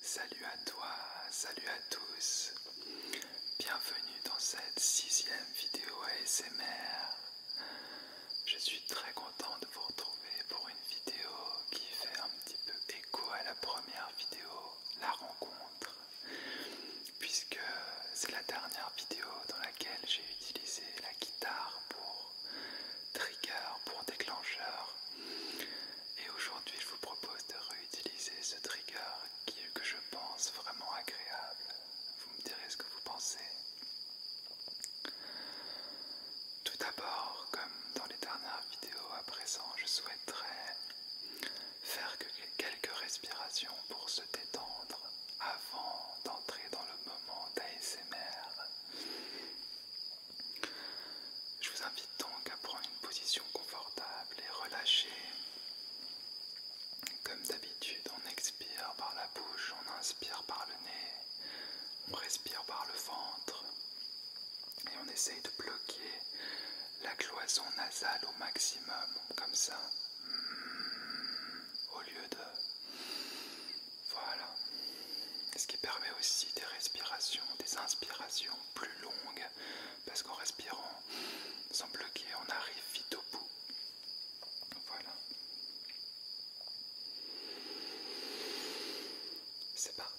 Salut à toi, salut à tous, bienvenue dans cette sixième vidéo ASMR. Je suis très content de vous retrouver pour une vidéo qui fait un petit peu écho à la première vidéo, la rencontre, puisque c'est la dernière vidéo dans laquelle j'ai utilisé la guitare pour trigger, pour déclencheur. Et aujourd'hui, je vous propose de réutiliser ce trigger qui est que je pense vraiment agréable. Vous me direz ce que vous pensez. Tout d'abord, comme dans les dernières vidéos à présent, je souhaiterais faire quelques respirations pour se détendre avant d'entrer dans le moment d'ASMR. Je vous invite donc à prendre une position confortable et relâchée. Comme d'habitude, on expire par la bouche, on inspire par le nez, on respire par le ventre et on essaye de bloquer la cloison nasale au maximum, comme ça, au lieu de voilà. Ce qui permet aussi des respirations, des inspirations plus longues, parce qu'en respirant sans bloquer, on arrive vite au bout. Voilà. C'est parti.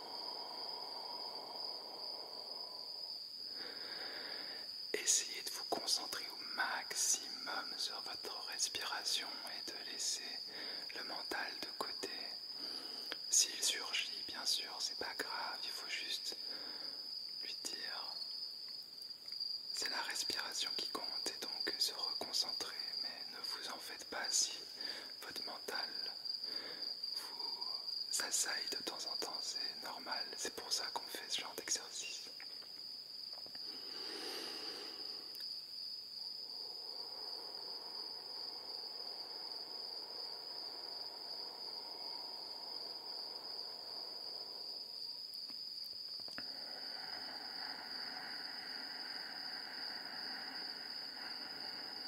Essayez de vous concentrer au maximum sur votre respiration et de laisser le mental de côté. S'il surgit, bien sûr, c'est pas grave, il faut juste lui dire c'est la respiration qui compte et donc se reconcentrer, mais ne vous en faites pas si votre mental vous assaille de temps en temps, c'est normal, c'est pour ça qu'on fait ce genre d'exercice.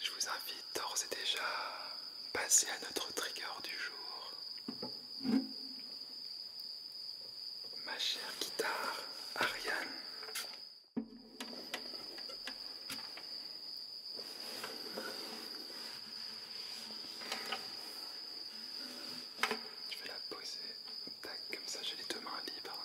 je vous invite d'ores et déjà à passer à notre trigger du jour. Ma chère guitare, Ariane. Je vais la poser, tac, comme ça j'ai les deux mains libres.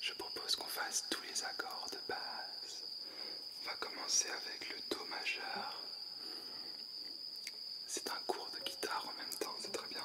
Je propose qu'on fasse tous les accords de base. On va commencer avec le Do majeur. C'est un cours de guitare en même temps, c'est très bien.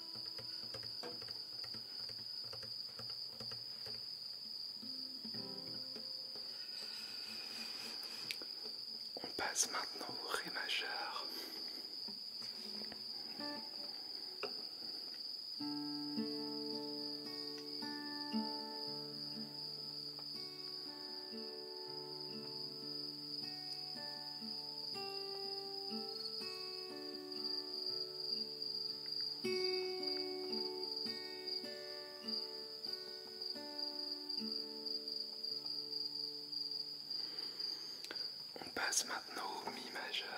On passe maintenant au Ré majeur. On passe maintenant au mi majeur.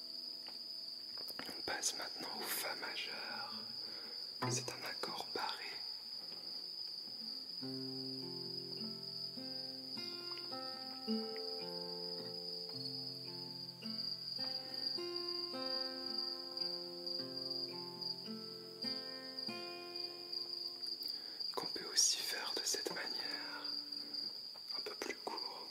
On passe maintenant au Fa majeur. C'est un accord barré. Qu'on peut aussi faire de cette manière, un peu plus court.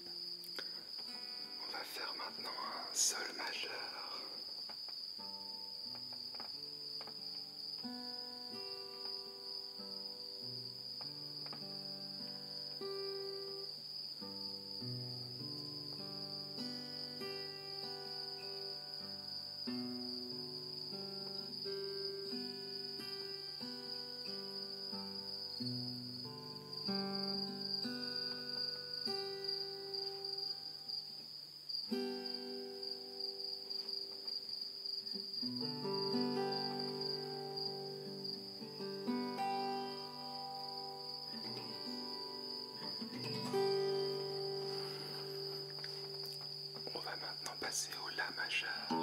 On va faire maintenant un sol majeur. On va maintenant passer au La majeur.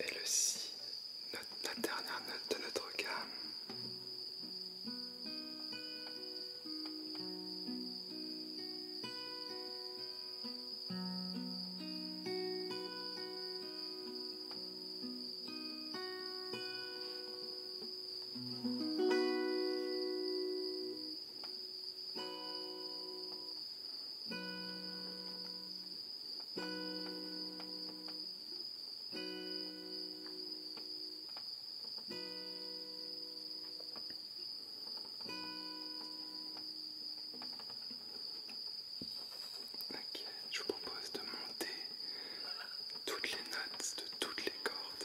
Et le Si, notre, la dernière note de notre gamme. Ok, je vous propose de monter toutes les notes de toutes les cordes.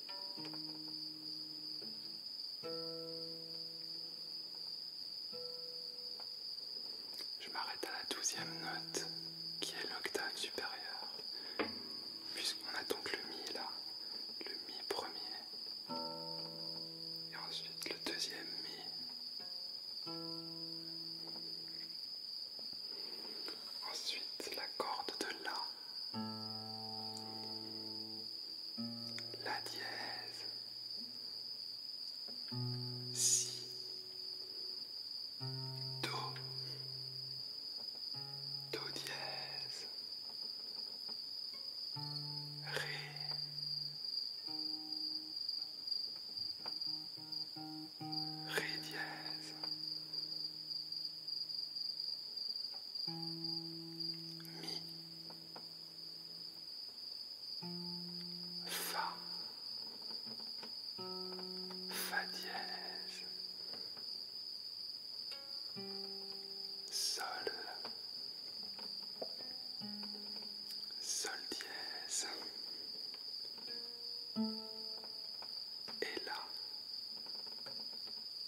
Je m'arrête à la douzième note qui est l'octave supérieure, puisqu'on a donc le Mi là, le Mi premier, et ensuite le deuxième Mi. Ensuite la corde de La la dièse. Si. Do. Do dièse. Ré. Ré dièse. Mi, Fa, Fa dièse, Sol, Sol dièse et là.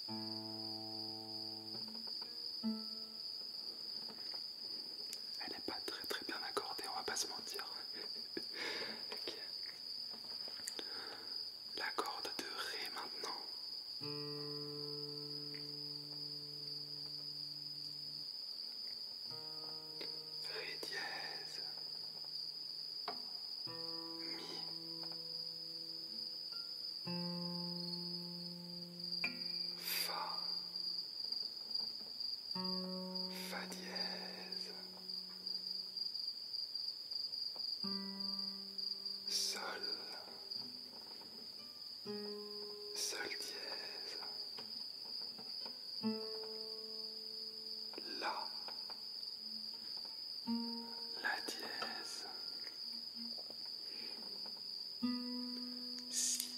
Elle n'est pas très très bien accordée, on va pas se mentir. La corde de Ré maintenant. Ré dièse. Mi. Fa, fa dièse, sol, sol dièse, la la dièse, si,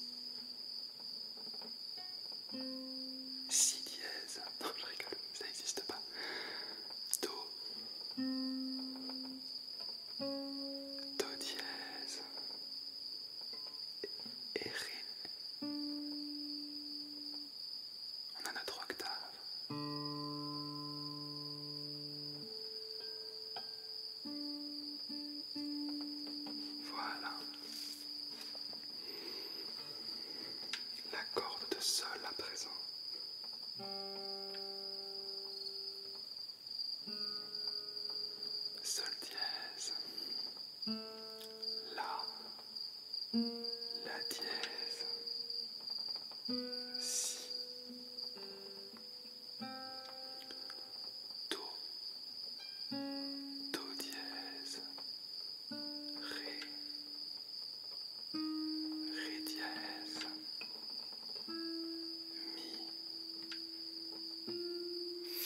si dièse, non je rigole, ça n'existe pas, do, do dièse, et ré. On a notre octave. Voilà. La corde de sol à présent. Sol dièse. La. La dièse. Si. Do, Do dièse, Ré, Ré dièse, Mi,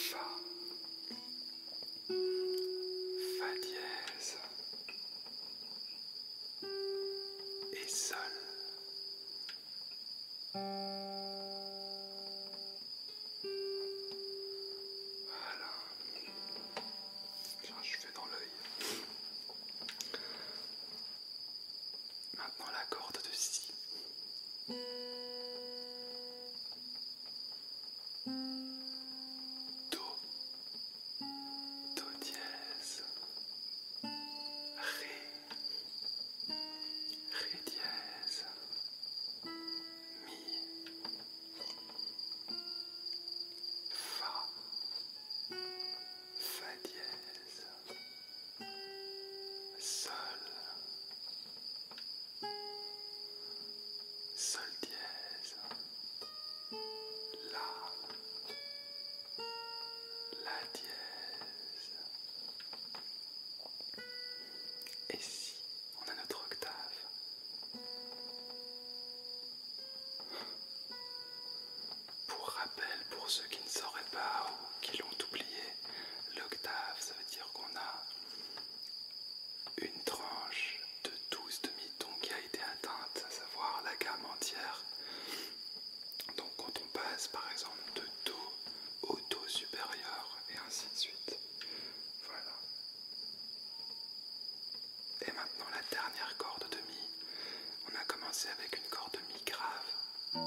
Fa, Fa dièse et sol. Voilà. Tiens, je fais dans l'œil. Maintenant la corde de si. Do. Do dièse, Ré, Ré dièse, Mi, Fa, Fa dièse, Sol, Sol dièse. La. La dièse. Et si on a notre octave Pour rappel, pour ceux qui ne sauraient pas ou qui l'ont oublié, l'octave, ça veut dire qu'on a une tranche de 12 demi-tons été atteinte, à savoir la gamme entière. Donc quand on passe par exemple de Do au Do supérieur et ainsi de suite. Voilà. Et maintenant la dernière corde de Mi. On a commencé avec une corde Mi grave.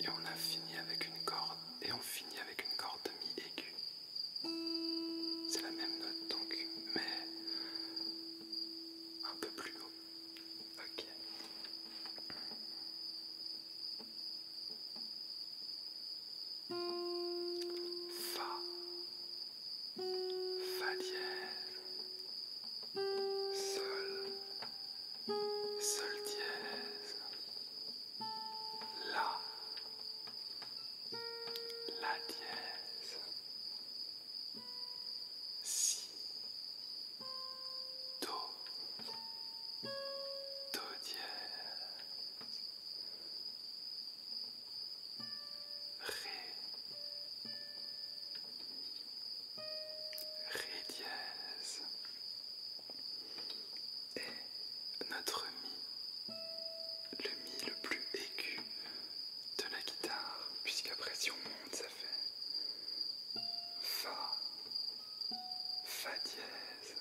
Et on a fini avec une corde. Et on finit avec une corde Mi aiguë. C'est la même note donc, mais un peu plus haut. Ok. Fa. Fa dièse. Sol. Sol dièse. La. La dièse si, do, do dièse, ré, ré dièse, et notre mi, le mi le plus aigu de la guitare, puisqu'après si on monte, ça fait Fa, Fa dièse,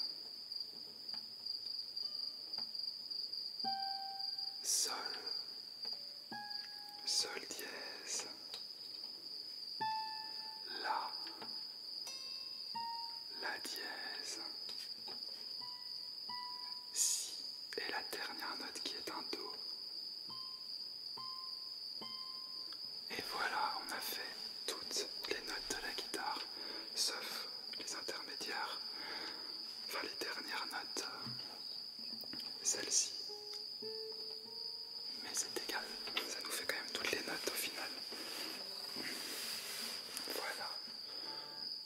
Sol, Sol dièse, La, La dièse, si et la dernière note qui est un Do. Et voilà, on a fait toutes les notes de la guitare, sauf les intermédiaires, enfin les dernières notes, euh, celle-ci. Mais c'est égal, ça nous fait quand même toutes les notes au final. Voilà.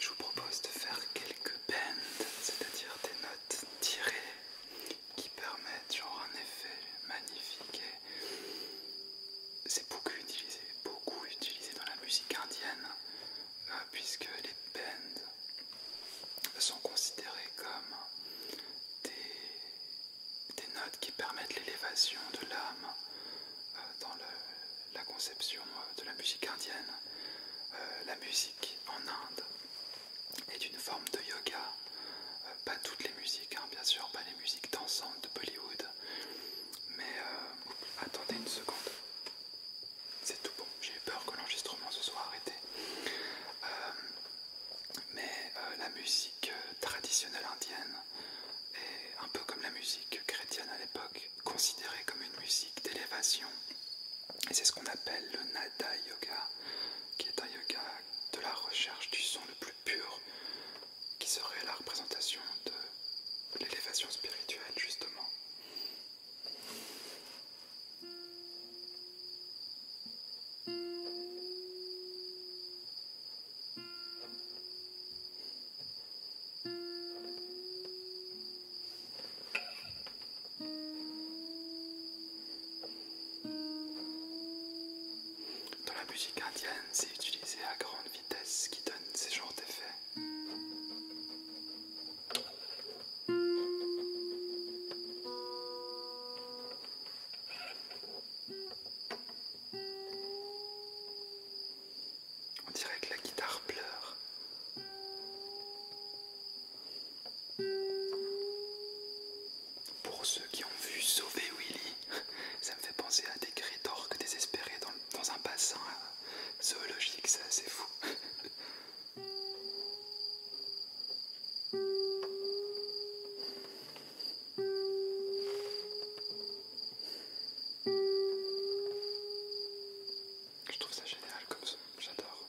Je vous propose de faire quelques bends, c'est-à-dire des notes tirées qui permettent genre un effet magnifique. C'est beaucoup utilisé, beaucoup utilisé dans la musique indienne. Euh, ah, puisque les bends sont considérés comme des, notes qui permettent l'élévation de l'âme euh, dans la conception euh, de la musique indienne. Euh, la musique en Inde est une forme de yoga, pas toutes les musiques, hein, bien sûr, pas les musiques dansantes de Bollywood, mais attendez une seconde c'est tout bon. J'ai eu peur que l'enregistrement se soit arrêté. Euh, mais euh, la musique euh, traditionnelle indienne est un peu comme la musique chrétienne à l'époque, considérée comme une musique d'élévation. Et c'est ce qu'on appelle le Nada Yoga, qui est un yoga de la recherche du son le plus pur, qui serait la représentation de l'élévation spirituelle, justement. Dans la musique indienne, c'est utilisé à grande vitesse qui donne ces genres d'effets. On dirait que la guitare pleure. Pour ceux qui ont vu Sauver Willy, ça me fait penser à des cris d'orques désespérés dans dans un passant euh, zoologique, c'est assez fou. Je trouve ça génial comme ça, j'adore.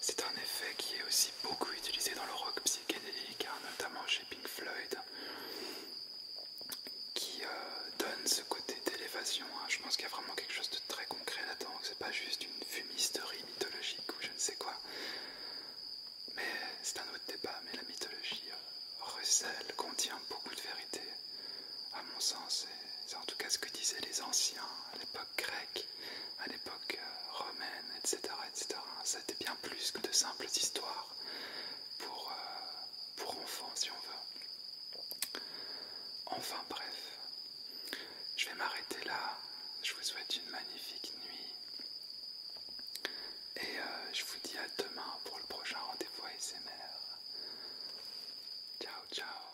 C'est un effet qui est aussi beaucoup utilisé dans le rock psychédélique, hein, notamment chez Pink Floyd qui euh, donne ce côté d'élévation. Hein. Je pense qu'il y a vraiment quelque chose de très concret là-dedans. C'est pas juste une fumisterie mythologique ou je ne sais quoi. Mais c'est un autre débat. Mais la mythologie euh, contient beaucoup de vérité, à mon sens. C'est en tout cas ce que disaient les anciens à l'époque grecque, à l'époque euh, romaine, etc., etc. C'était bien plus que de simples histoires. Euh, pour, enfants si on veut. Enfin bref, je vais m'arrêter là. Je vous souhaite une magnifique nuit. Et euh, je vous dis à demain pour le prochain rendez-vous ASMR. Ciao, ciao.